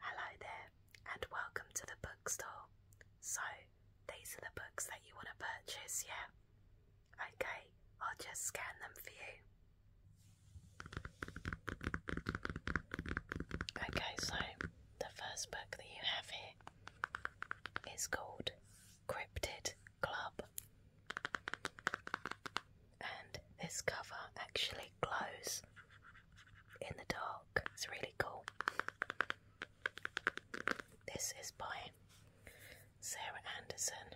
Hello there, and welcome to the bookstore. So, these are the books that you want to purchase, yeah? Okay, I'll just scan them for you. Okay, so the first book that you have here is called Cryptid Club and this cover actually glows in the dark. It's really cool. This is by Sarah Anderson.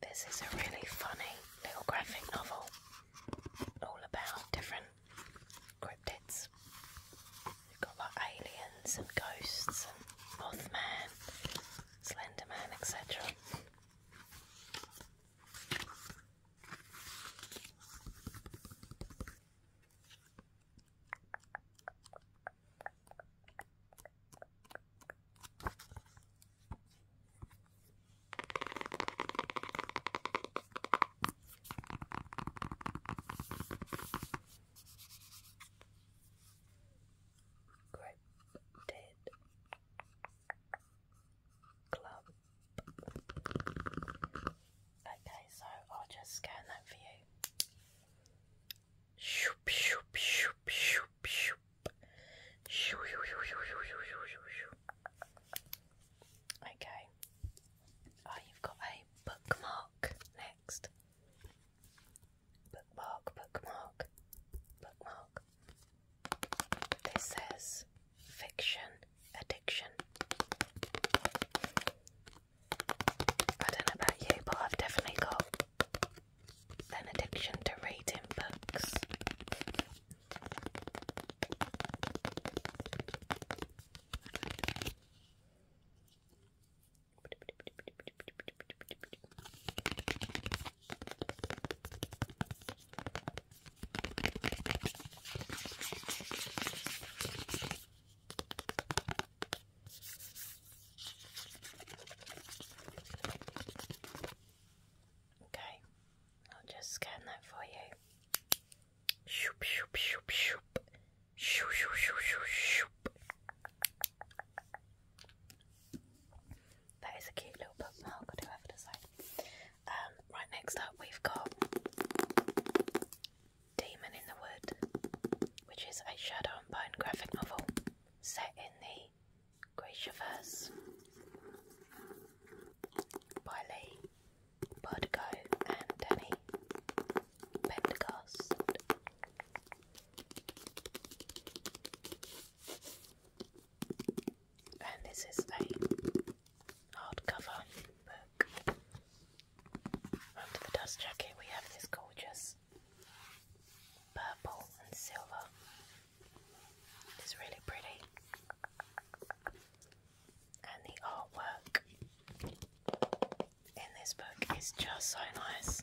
This is a really funny little graphic novel all about different cryptids. You've got like aliens and ghosts and Mothman, Slenderman, etc. Cryptid Club. Okay, so I'll just scan that for you. Shoop, shoop, shoop, shoop, shoop. Okay. Oh, you've got a bookmark next. Bookmark, bookmark, bookmark. This says fiction, addiction. I don't know about you, but I've definitely got an addiction to reading books. Okay, I'll just scan that for you. That is a cute little bookmark. Oh, I'll do have it aside. Um, right, next up we've got Demon in the Wood, which is a Shadow and Bone graphic novel set in the Gracious, Wiley, Bardigo, and Danny Pendergast. And this is a hardcover book. Under the dust jacket, we have this gorgeous purple and silver. It's really pretty. And the artwork in this book is just so nice.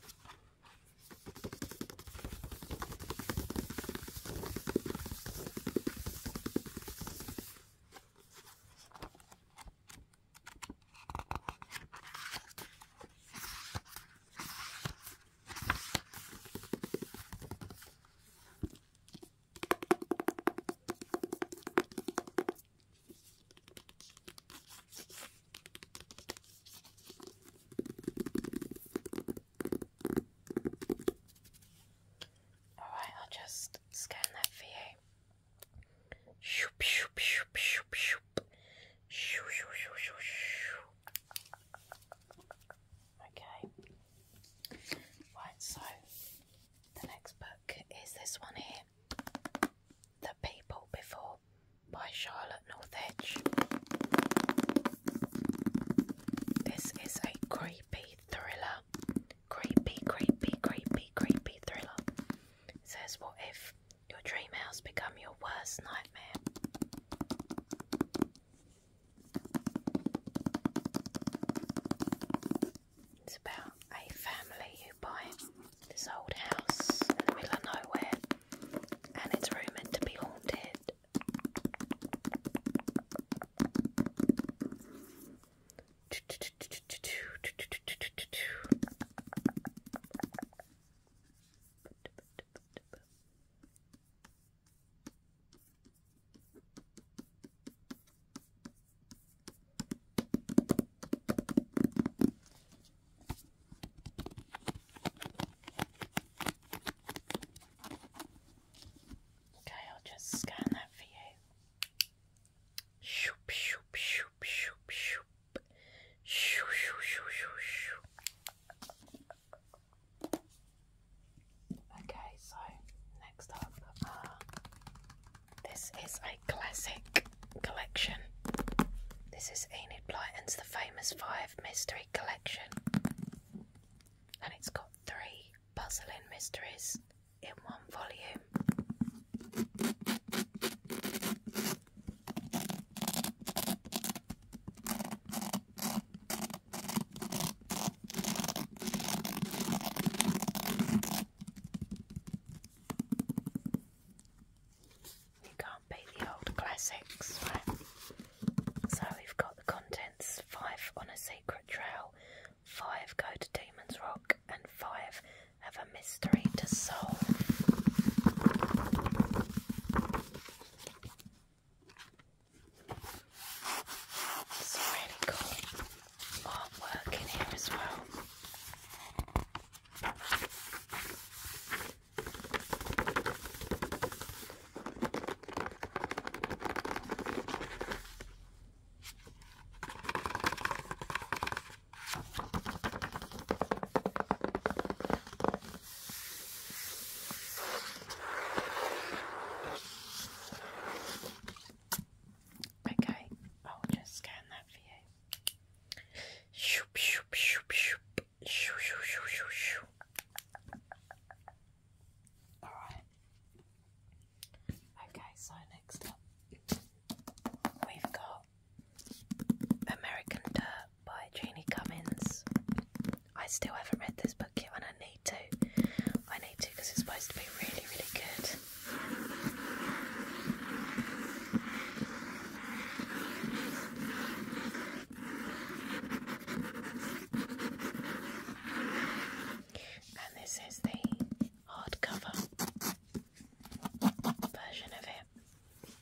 Alright, I'll just scan that for you. Shoop, shoop, shoop, shoop, shoop. Shoo, shoo, shoo, shoo, shoo. Okay. Right, so the next book is this one here The People Before by Charlotte Northedge. This is a creepy thriller. Creepy, creepy, creepy, creepy thriller. says, What if your dream house become your worst nightmare. It's about a family who buy this old house in the middle of nowhere and it's rumoured to be haunted. Okay, I'll just scan that for you. Shoop, shoop, shoop, shoop, shoop. Shoo, shoo, shoo, shoo, shoo. Okay, so next up, uh, this is a classic collection. This is Enid Blyton's The Famous Five Mystery Collection, and it's got three puzzling mysteries in one volume. You can't beat the old classics, right? So we've got the contents five on a secret trail, five go to Demon's Rock, and five have a mystery to solve. Some really cool artwork in here as well. Okay, I'll just scan that for you. Shoop, shoop, shoop, shoop, shoo, shoo, shoo, shoo, shoo. All right. Okay, so next up, we've got American Dirt by Janie Cummins. I still haven't read this book yet, and I need to. I need to because it's supposed to be really, really good. And this is the hardcover version of it.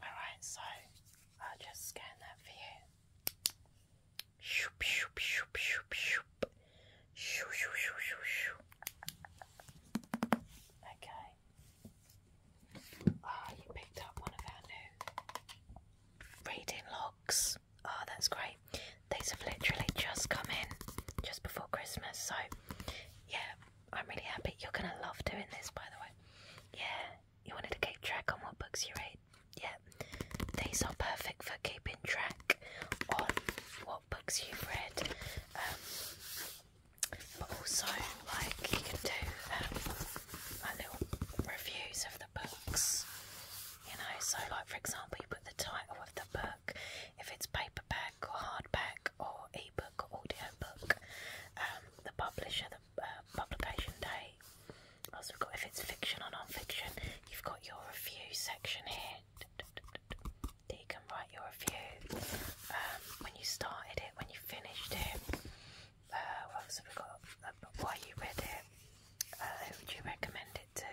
Alright, so I'll just scan that for you. Okay, Ah, you picked up one of our new reading logs. Ah, oh, that's great. These have literally just come in just before Christmas, so yeah, I'm really happy. You're gonna love doing this, by the way. Yeah, you wanted to keep track on what books you read. Yeah, these are perfect for keeping track on what books you've read. Um, but also like you can do um, little reviews of the books. You know, so like for example, you put the title of the book if it's paperback or hardback or ebook or audio book, um, the publisher, the uh, publication date. Also, if it's fiction or non-fiction, you've got your review section here that you can write your review, um, when you started it, when you finished it, uh, what else have we got, uh, why you read it, uh, who would you recommend it to,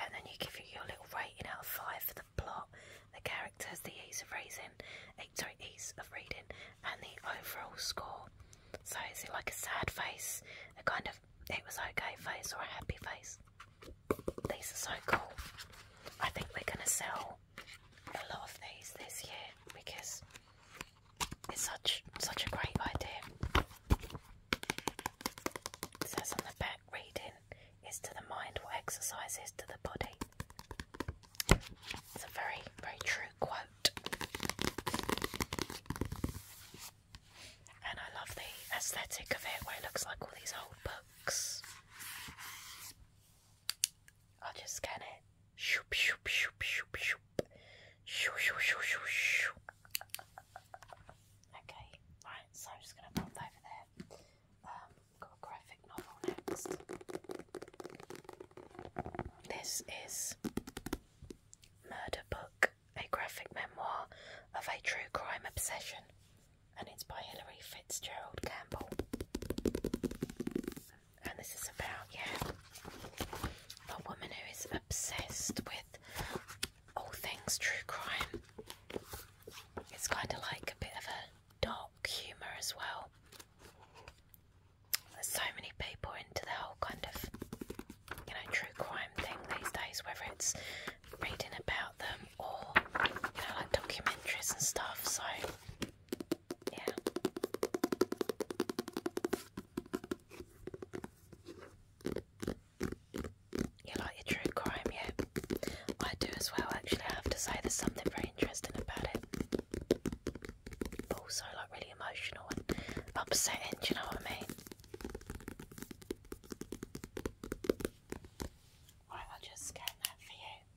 and then you give you your little rating out of 5 for the plot, the characters, the ease of raising, eh, sorry, ease of reading, and the overall score. So is it like a sad face, a kind of it was okay face or a happy face? These are so cool. I think we're gonna sell a lot of these this year because it's such such a great idea. It says on the back, reading is to the mind what exercise is to the body. It's a very, very true quote. And I love the aesthetic of it where it looks like all these old books. I'll just scan it. Shoop, shoop, shoop, shoop, shoop. Shoo, shoo, shoo, shoo, shoo. Okay, right, so I'm just going to pop over there. Um, got a graphic novel next. This is Murder Book, a graphic memoir of a true crime obsession and it's by Hilary Fitzgerald Campbell. And this is about, yeah, a woman who is obsessed with all things true crime. It's kind of like a bit of a dark humour as well. There's so many people into the whole kind of, you know, true crime thing these days, whether it's reading about them or you know like documentaries and stuff. So yeah. You like your true crime, yeah? I do as well, actually. I have to say, there's something very interesting about it. also, like, really emotional and upsetting, you know what I mean? Right, i just scan that for you.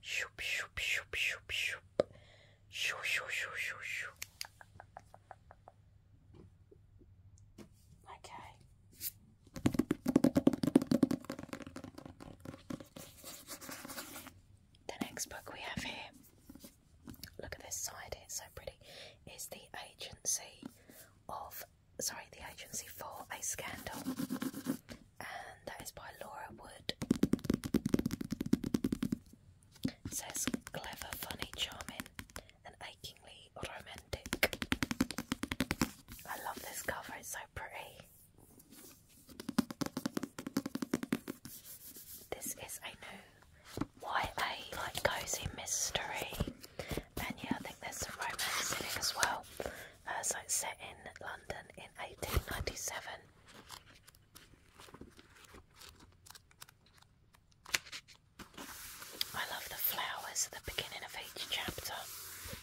Shoop, shoop, shoop, shoop, shoop. Shoo, shoo, shoo, shoo, shoo. Okay. The next book we have here, look at this side, it's so pretty, is The Agency of, sorry, The Agency for a Scandal and that is by Laura Wood. says clever, funny, charming, and achingly romantic. I love this cover, it's so pretty. This is a new YA like cozy mystery, and yeah, I think there's some romance in it as well. As uh, so it's set in London in 1897. I love the flowers at the beginning of each chapter.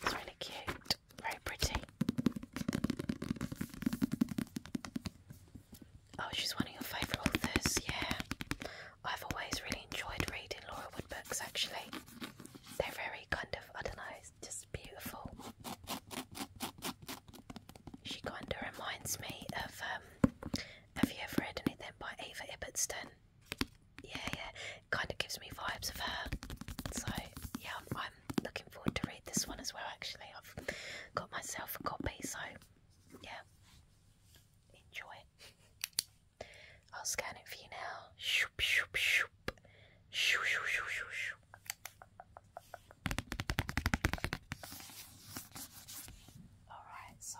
It's really cute, very pretty. Oh, she's one of your favourite authors, yeah. I've always really enjoyed reading Laura Wood books actually. They're very kind of, I don't know, just beautiful. She kind of reminds me of. Um, have you ever read anything by Ava Ibbotson? Yeah, yeah. It kind of gives me vibes of her. So yeah, I'm, I'm looking forward to read this one as well. Actually, I've got myself a copy, so yeah, enjoy. I'll scan it for you now. Shoop, shoop, shoop. Shoo, shoo, shoo, shoo, shoo. Alright, so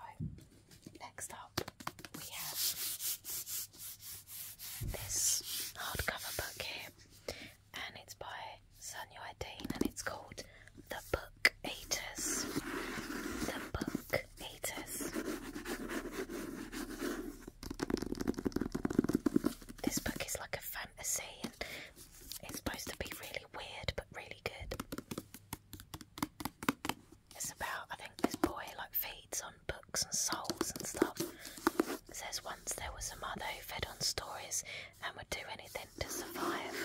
next up we have this hardcover book here, and it's by Sunyoy Dean, and it's called The Book Eaters. The Book Eaters. This book is like a fantasy and it's supposed to be really weird but really good. It's about, I think this boy like feeds on books and souls and stuff. It says once there was a mother who fed on stories and would do anything to survive.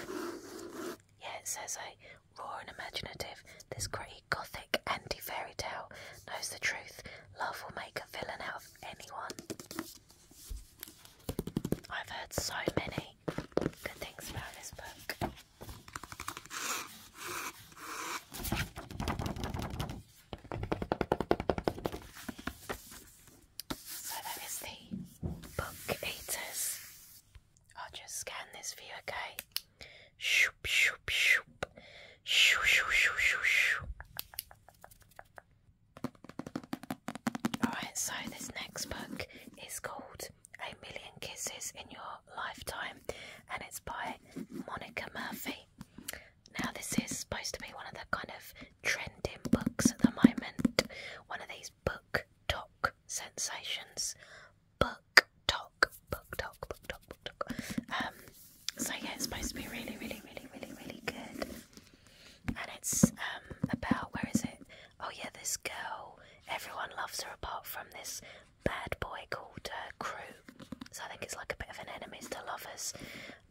Yeah, it says a raw and imaginative, this great gothic anti fairy tale knows the truth, love will make a villain out of anyone. I've heard so many good things about this book. So that is the Book Eaters. I'll just scan this for you, okay? Shoop, shoop, shoop. Shoo, shoo, shoo, shoo, shoo. Alright, so this next book is called A Million Kisses in Your Lifetime and it's by Monica Murphy. Now, this is supposed to be one of the kind of trending books at the moment, one of these book talk sensations. Book talk. Um, so yeah, it's supposed to be really, really, really, really, really good. And it's um, about where is it? Oh yeah, this girl. Everyone loves her apart from this bad boy called uh, Crew. So I think it's like a bit of an enemies to lovers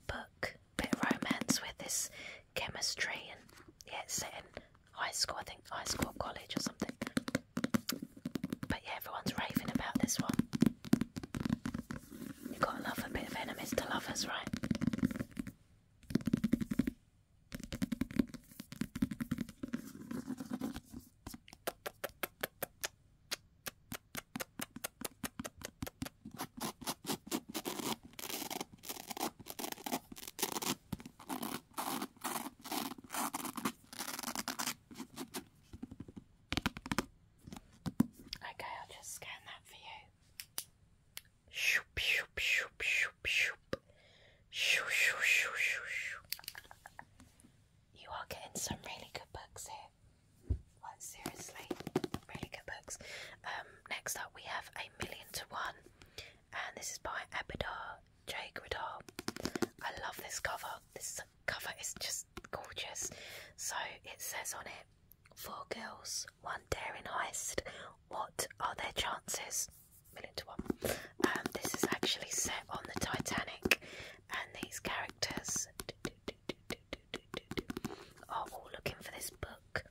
book, bit romance with this chemistry, and yeah, it's high school. I think high school, college, or something. But yeah, everyone's raving about this one. You gotta love a bit of enemies to lovers, right? Okay, I'll just scan that for you. Shoop, shoop, shoop, shoop, shoop. Shoo, shoo, shoo, shoo, shoo. You are getting some really good books here. What seriously, really good books. Um, next up, we have A Million to One, and this is by Abidar Jay Gridar. I love this cover. This cover is just gorgeous. So it says on it four girls, one daring heist. What are their chances? Million to one. Um, this is actually set on the Titanic, and these characters are all looking for this book.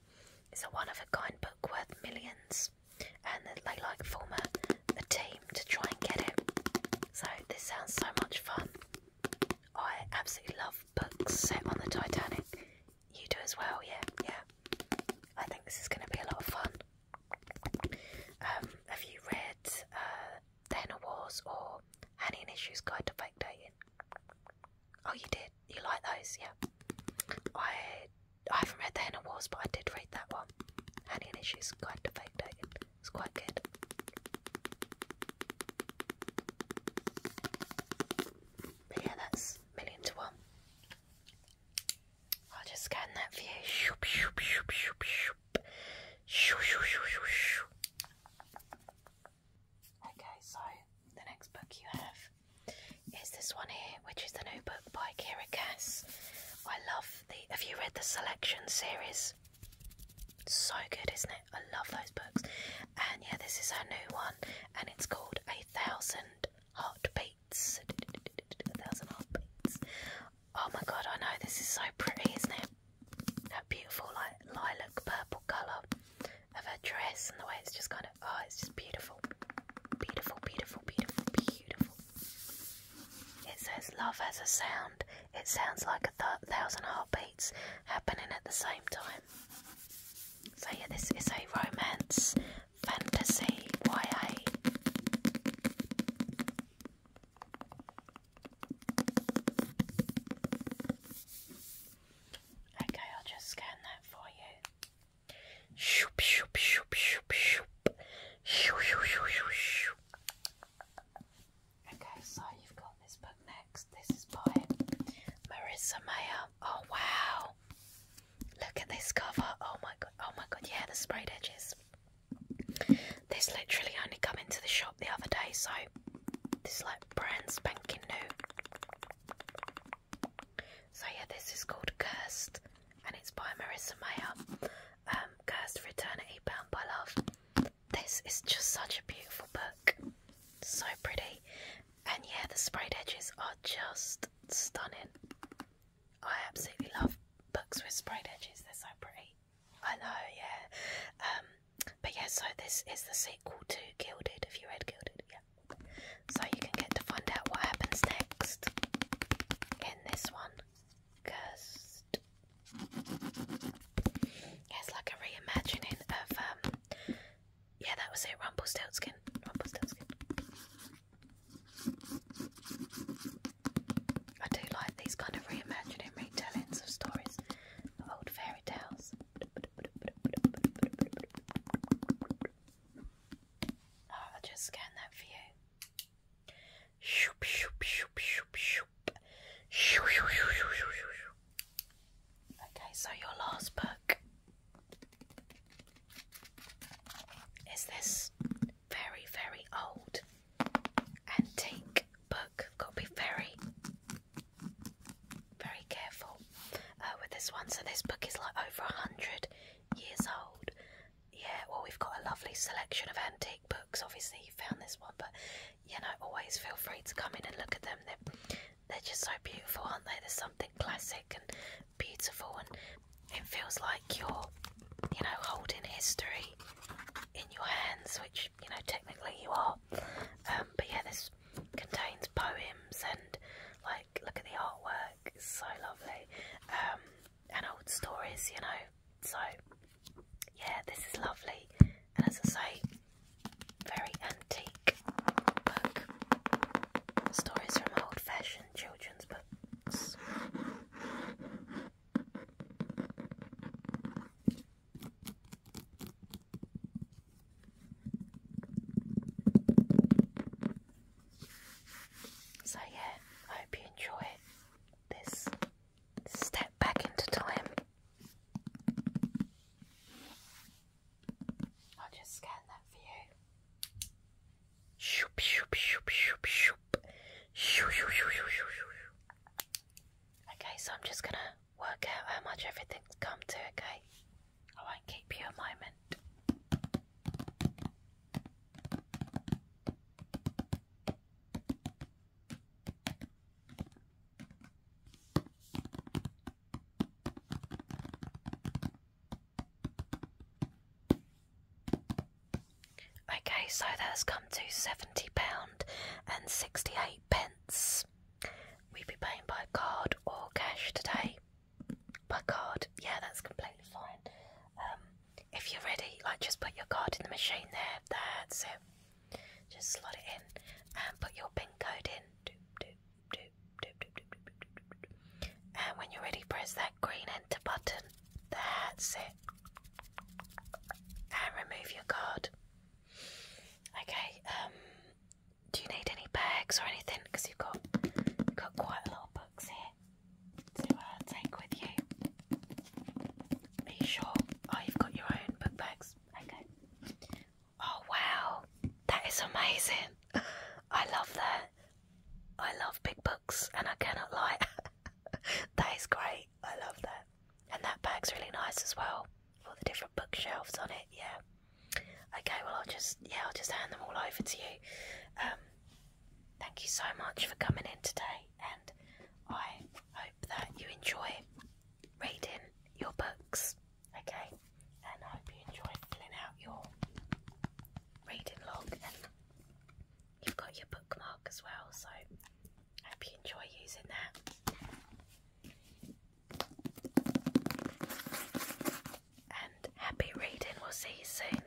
It's a one of a kind book worth millions, and they like form a, a team to try and get it. So, this sounds so much fun. I absolutely love books set on the Titanic. You do as well, yeah, yeah. I think this is going to be a lot of fun. Um, have you read uh, The Henna Wars or Annie Issues Guide to Fake Dating? Oh, you did. You like those, yeah. I I haven't read The Henna Wars, but I did read that one. Annie Issues Guide to Fake Dating. It's quite good. yeah, that's million to one. I'll just scan that for Okay, so the next book you have is this one here, which is the new book by Kira Cass. I love the. Have you read the Selection series? So good, isn't it? I love those books. And yeah, this is her new one, and it's called A Thousand Heartbeats. A Thousand Heartbeats. Oh my god, I know this is so pretty, isn't it? That beautiful like lilac purple colour of her dress and the way it's just kind of oh it's just beautiful. Beautiful, beautiful, beautiful, beautiful. It says love has a sound. It sounds like a thousand heartbeats happening at the same time. So yeah, this is a romance fantasy YA. Okay, I'll just scan that for you. Shoop shoop shoop shoop shoop. Shoo, shoo, shoo, shoo, shoo. Okay, so you've got this book next. This is by Marissa Mayer. Oh wow! Look at this cover. Oh my god! Oh my god! Yeah, the sprayed edges. This literally only came into the shop the other day, so this is like brand spanking new. So yeah, this is called Cursed, and it's by Marissa Mayer. Um, Cursed for Eternity, Bound by Love this is just such a beautiful book. So pretty. And yeah, the sprayed edges are just stunning. I absolutely love books with sprayed edges, they're so pretty. I know, yeah. Um, but yeah, so this is the sequel to Gilded, if you read Gilded, yeah. So you can get to find out what happens next in this one. Gust. it's like a reimagining of um yeah that was it, Rumpelstiltskin. Rumpelstiltskin. I do like these kind of reimagining retellings of stories of old fairy tales. I'll just scan that for you. Okay, so your last book is this very, very old antique book. Got to be very, very careful uh, with this one. So this book is like over a hundred years old. Yeah, well, we've got a lovely selection of antique books books. Obviously, you found this one, but you know, always feel free to come in and look at them. They're, just so beautiful, aren't they? There's something classic and beautiful, and it feels like you're, you know, holding history in your hands, which you know, technically you are. Um, but yeah, this contains poems and like, look at the artwork, it's so lovely. Um, and old stories, you know, so, yeah, this is lovely, and as I say, very antique book. Stories from old fashioned children's books. So, yeah, I hope you enjoy it. This step back into time. I'll just scan that for you. Shoop, shoop, shoop, shoop, shoop. Shoo, shoo, shoo, shoo, shoo, shoo. Okay, so I'm just gonna work out how much everything's come to, okay? I won't keep you a moment. Okay, so that's come to seventy pound and sixty eight pence. we would be paying by card or cash today. By card, yeah, that's completely fine. Um, if you're ready, like just put your card in the machine there. That's it. Just slot it in and put your pin code in. Doop, doop, doop, doop, doop, doop, doop, doop, And when you're ready, press that green enter button. That's it. And remove your card. Okay. Um, do you need any bags or anything? Because you've got got quite a lot of books here. to uh, take with you. Are sure? Oh, you've got your own book bags. Okay. Oh, wow. That is amazing. I love that. I love big books and I cannot lie. that is great. I love that. And that bag's really nice as well. All the different bookshelves on it. Yeah. Okay, well, I'll just, yeah, I'll just hand them all over to you. Um, thank you so much for coming in today and I hope that you enjoy reading your books, okay? And I hope you enjoy filling out your reading log and you've got your bookmark as well, so I hope you enjoy using that. And happy reading, we'll see you soon.